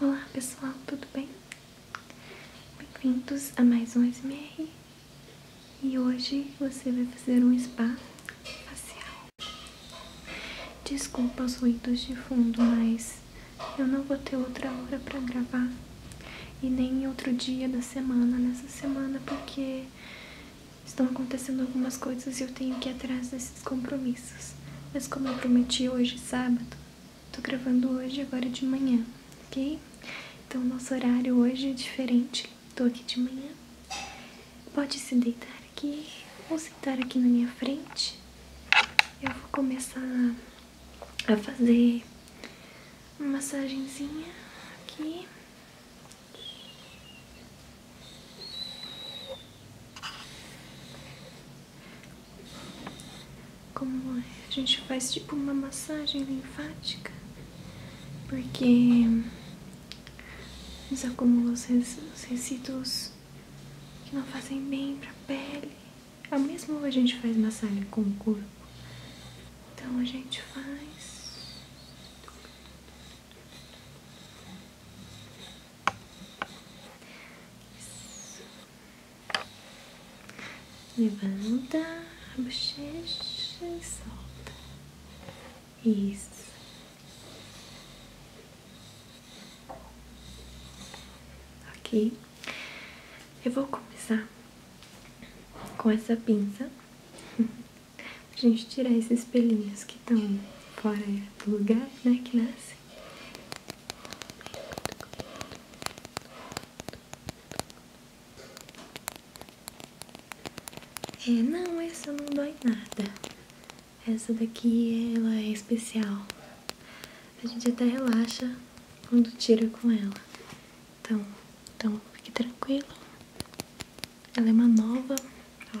Olá pessoal, tudo bem? Bem-vindos a mais um SMR e hoje você vai fazer um spa facial. Desculpa os ruídos de fundo, mas eu não vou ter outra hora para gravar e nem outro dia da semana nessa semana porque estão acontecendo algumas coisas e eu tenho que ir atrás desses compromissos. Mas como eu prometi hoje, sábado, Tô gravando hoje, agora de manhã, ok? Então, nosso horário hoje é diferente. Tô aqui de manhã. Pode se deitar aqui ou sentar aqui na minha frente. Eu vou começar a fazer uma massagenzinha aqui. Como é? a gente faz tipo uma massagem linfática, porque os acúmulos, os resíduos que não fazem bem para a pele, ao é mesmo a gente faz massagem com o corpo. Então a gente faz isso. Levanta a bochecha e solta. Isso. Ok. Eu vou começar com essa pinça. pra gente tirar esses pelinhos que estão fora do lugar, né, que nasce. É, não, essa não dói nada. Essa daqui, ela é especial. A gente até relaxa quando tira com ela. Então, então fique tranquilo. Ela é uma nova, ó.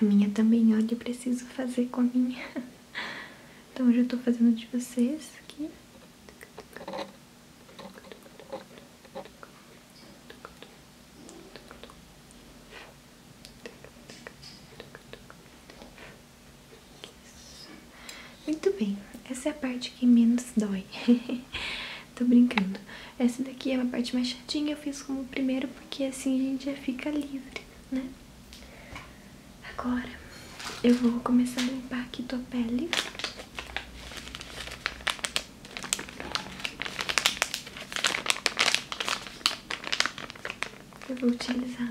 A minha também, olha, eu preciso fazer com a minha. Então hoje eu tô fazendo de vocês aqui. Muito bem, essa é a parte que menos dói. Tô brincando. Essa daqui é a parte mais chatinha, eu fiz como primeiro porque assim a gente já fica livre, né? Agora eu vou começar a limpar aqui tua pele. Eu vou utilizar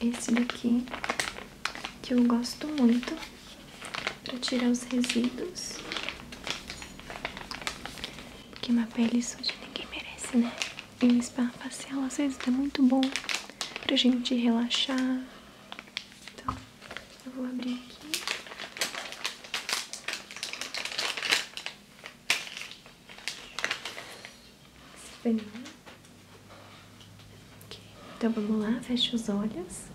esse daqui que eu gosto muito para tirar os resíduos. Porque uma pele suja ninguém merece, né? E um spa facial às vezes é muito bom pra gente relaxar. Então, eu vou abrir aqui. Esse Okay. Então vamos lá, fecha os olhos.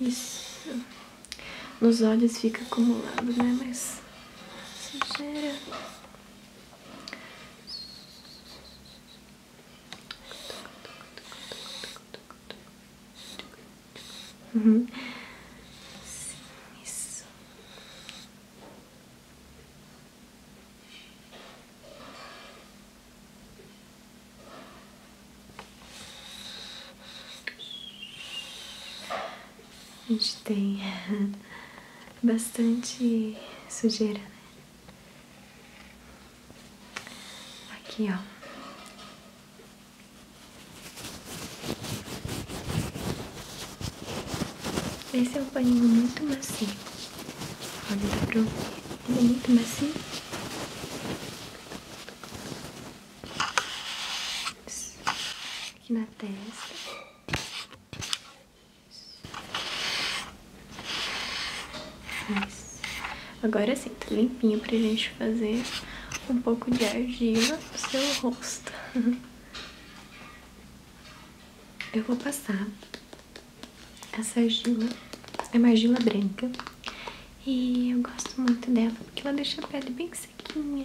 Isso. Nos olhos fica acumulado, né? Mas sujeira. Uhum. Sim, isso. A gente tem bastante sujeira, né? Aqui, ó. Esse é um paninho muito macio. Olha, dá pra ouvir. Ele é muito macio. Aqui na testa. Isso. Agora sim, tá limpinho pra gente fazer um pouco de argila no seu rosto. Eu vou passar essa argila, é uma argila branca. E eu gosto muito dela, porque ela deixa a pele bem sequinha.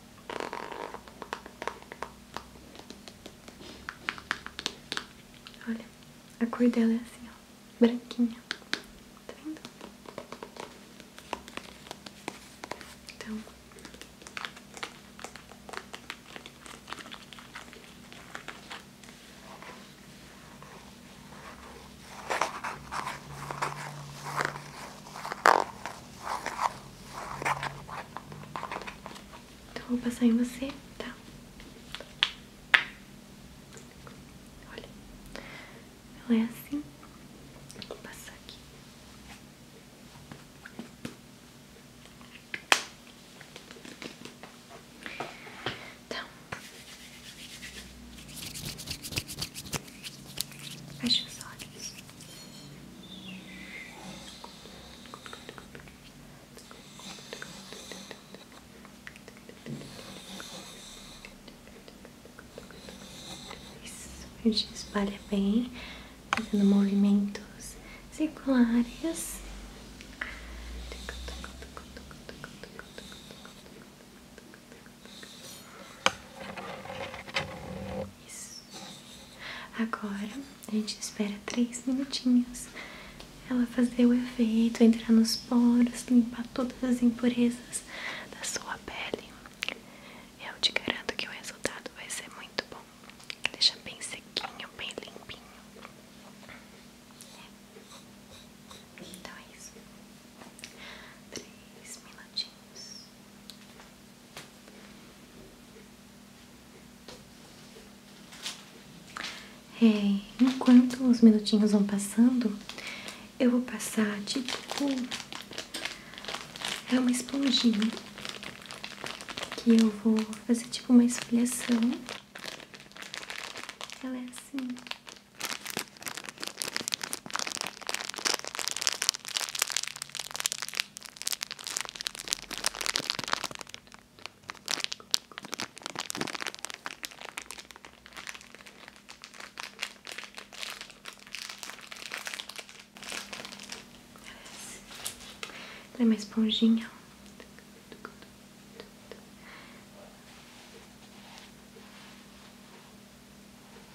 Olha, a cor dela é assim, ó, branquinha. Tá vendo? Então, então vou passar em você, tá? Olha, ela é assim. Vou passar aqui. tá? fecha os olhos. Isso, a gente espalha bem, fazendo movimentos circulares. Isso. Agora a gente espera três minutinhos ela fazer o efeito, entrar nos poros, limpar todas as impurezas da sua pele. Eu te garanto que o resultado vai ser muito bom. Deixa bem sequinho, bem limpinho. É. Então é isso. Três minutinhos. É, enquanto os minutinhos vão passando, eu vou passar tipo. É uma esponjinha que eu vou fazer tipo uma esfoliação. Ela é assim. Ela é uma esponjinha.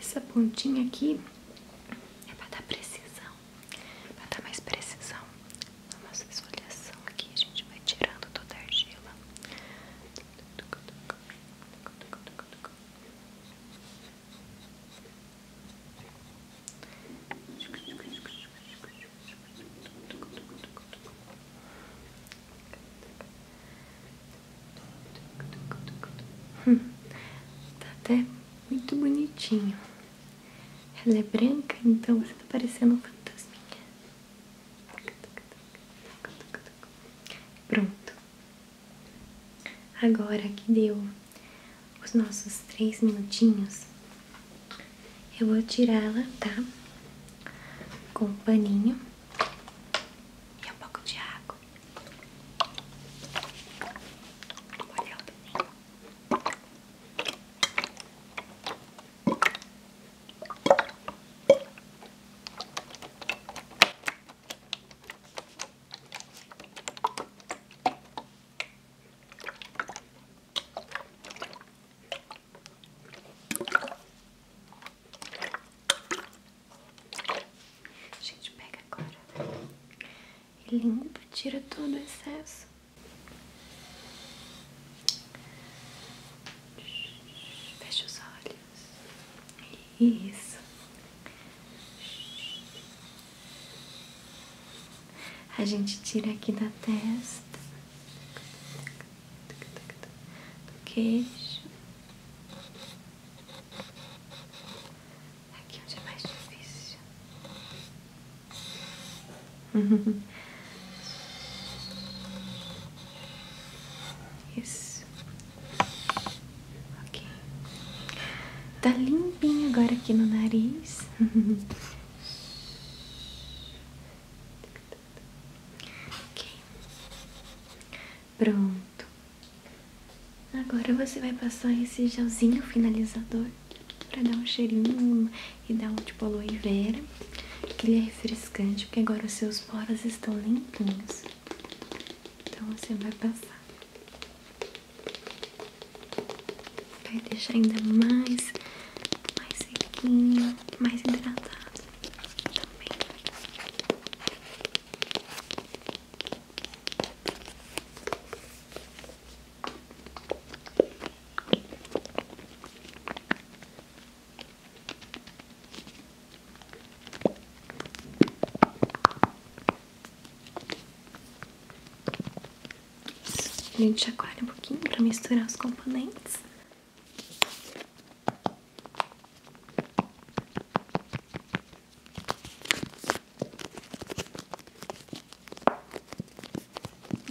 Essa pontinha aqui é para dar precisão, para dar mais precisão na nossa esfoliação aqui. A gente vai tirando toda a argila. Hum, tá até muito bonitinho. Ela é branca, então você tá parecendo fantasminha. Pronto. Agora que deu os nossos três minutinhos, eu vou tirá-la, tá? Com o paninho. E um pouco de água. Molhar gente pega agora e limpa, tira todo o excesso. Fecha os olhos. Isso. A gente tira aqui da testa do queixo. Aqui onde é mais difícil. Isso. Ok. Tá limpinho agora aqui no nariz. Pronto. Agora você vai passar esse gelzinho finalizador para dar um cheirinho e dar um tipo aloe vera, que ele é refrescante, porque agora os seus poros estão limpinhos. Então você vai passar. Vai deixar ainda mais, mais sequinho, mais hidratado também. Isso. A gente chacoalha um pouquinho para misturar os componentes.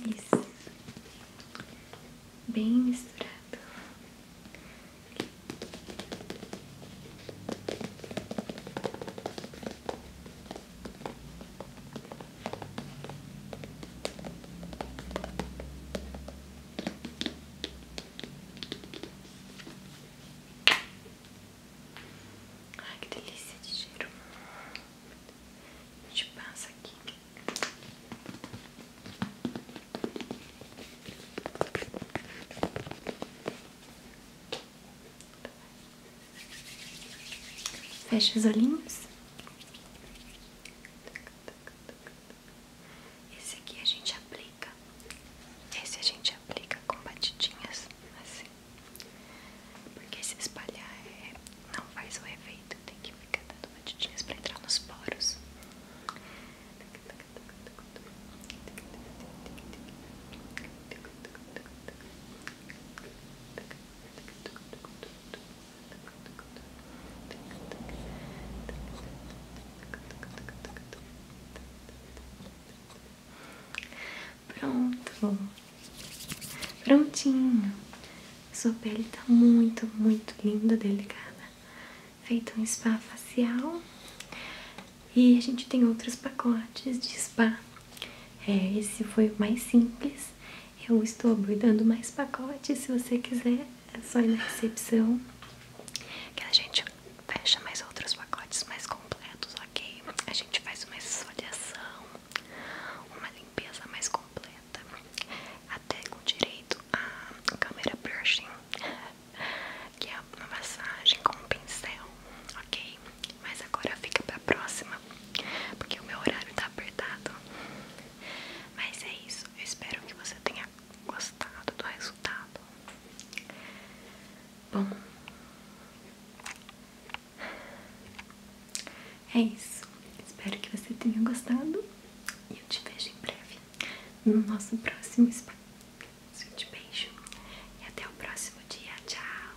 Isso. Bem misturado. Ai, que delícia de cheiro. te gente passa aqui. Fecha os olhinhos. Esse aqui a gente aplica. Esse a gente aplica com batidinhas, assim. Porque se espalhar é, não faz o efeito. Tem que ficar dando batidinhas pra entrar nos poros. Tá Pronto, prontinho. Sua pele tá muito, muito linda, delicada. Feito um spa facial. E a gente tem outros pacotes de spa. É, esse foi o mais simples. Eu estou abordando mais pacotes. Se você quiser, é só ir na recepção que a gente fecha mais outros pacotes mais completos, ok? A gente faz uma exfoliação, uma limpeza mais completa, até com direito a câmera brushing, que é uma massagem com um pincel, ok? Mas agora fica pra próxima, porque o meu horário tá apertado. Mas é isso, eu espero que você tenha gostado do resultado. Bom, é isso. Espero que você tenha gostado e eu te vejo em breve no nosso próximo spa. um beijo e até o próximo dia. Tchau!